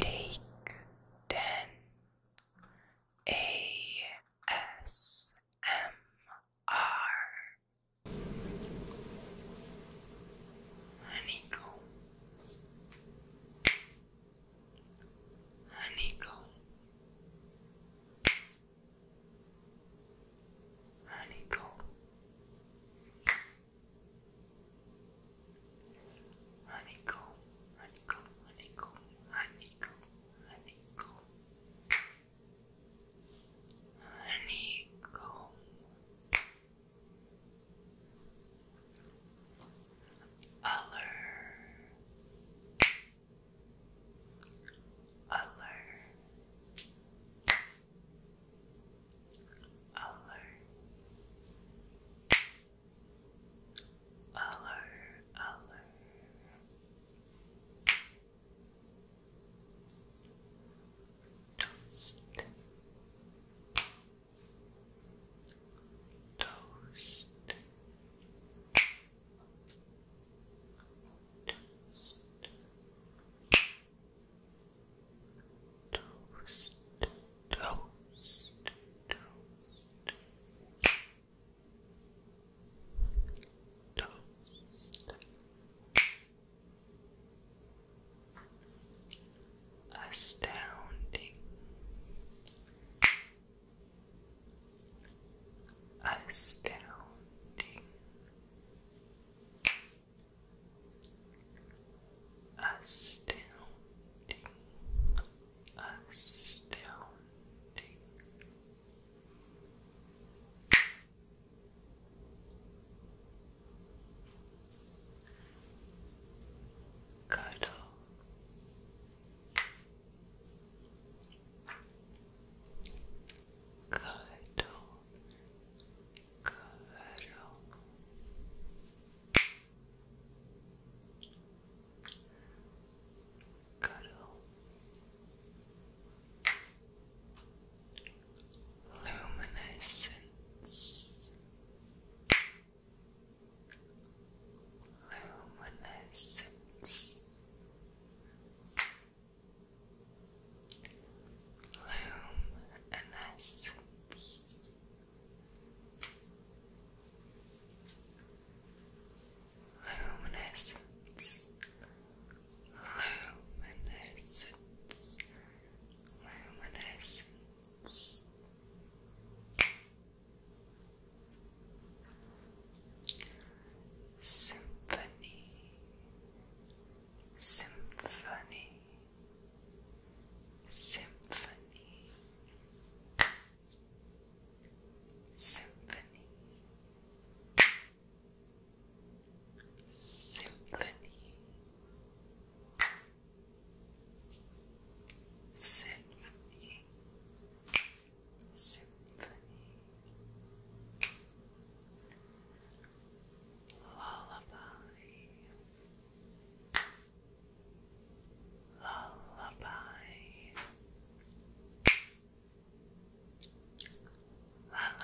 Take 10 ASMR Honeycomb Honeycomb Honeycomb honeycomb, honeycomb, honeycomb, honeycomb, honeycomb, honeycomb. Aller, aller, alert, alert, alert, toast, toast. Toast. Toast, toast, Astounding. Astounding astounding, still, Cuddle, cuddle, Coverlo. Cuddle. Luminescence. Luminescence. Bloom and Luminescence, luminescence, luminescence symphony, symphony, symphony, symphony, symphony, symphony. Symphony Lullaby Lullaby Lullaby Lullaby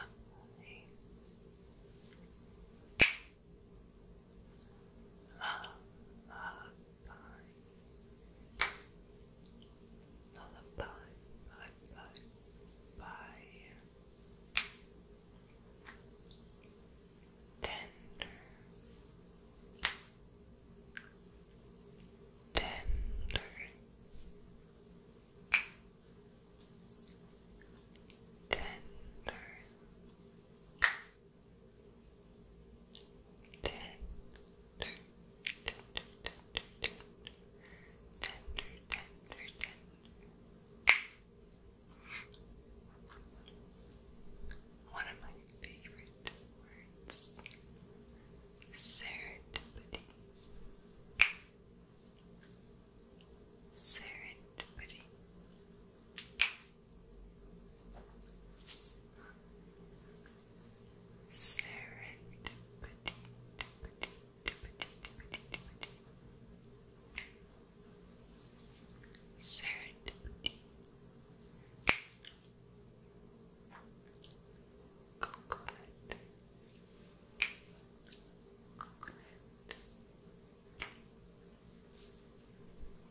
lullaby, lullaby, bye. Tender, tender, tender. Ten, one of my favorite words serendipity. Serendipity serendipity, serendipity, coconut, coconut,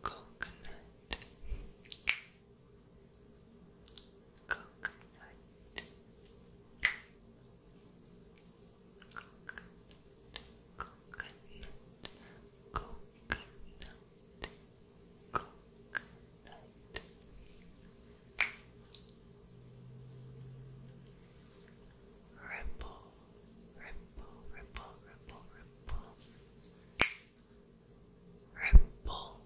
coconut. Coconut. Coconut. Coconut. Coconut. Coconut. Ripple, ripple, ripple, ripple, ripple ripple,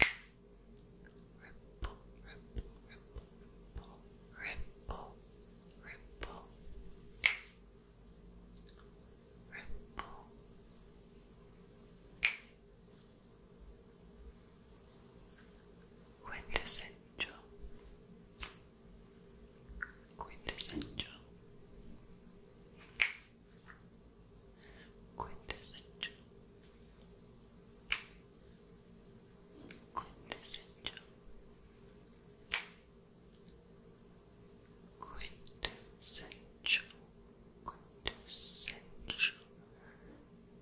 ripple, ripple, ripple, ripple, ripple, ripple. Quintessential, quintessential, quintessential, Quintessential. Quintessential. Quintessential. Quintessential.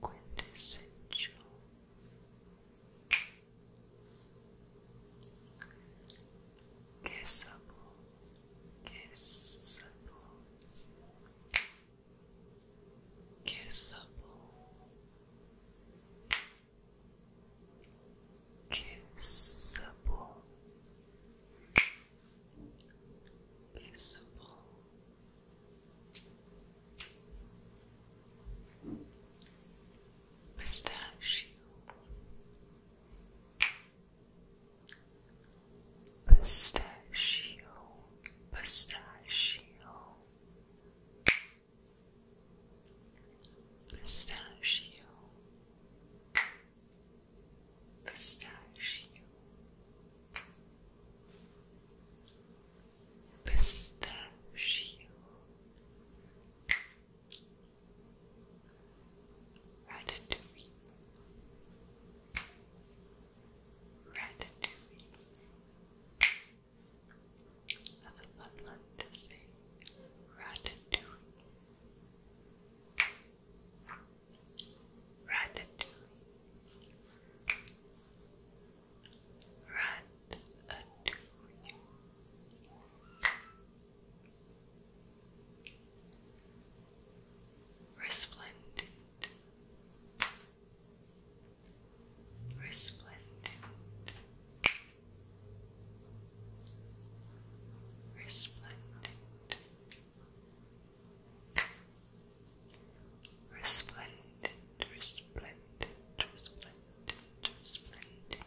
Quintessential kissable, kissable, kissable, kissable, kissable. Kissable, pistachio, pistachio, pistachio, pistachio, pistachio. Pistachio, Ratatouille Ratatouille That's a fun one to say Ratatouille Ratatouille Ratatouille adore Resplendent, resplendent, resplendent, resplendent, resplendent, resplendent just blend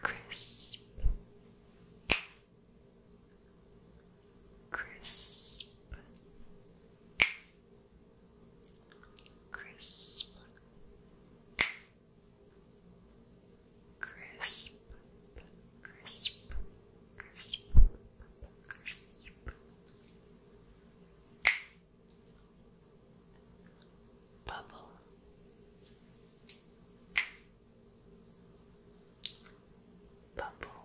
Crisp, crisp, crisp, crisp, crisp, crisp, Bubble. Bubble. Bubble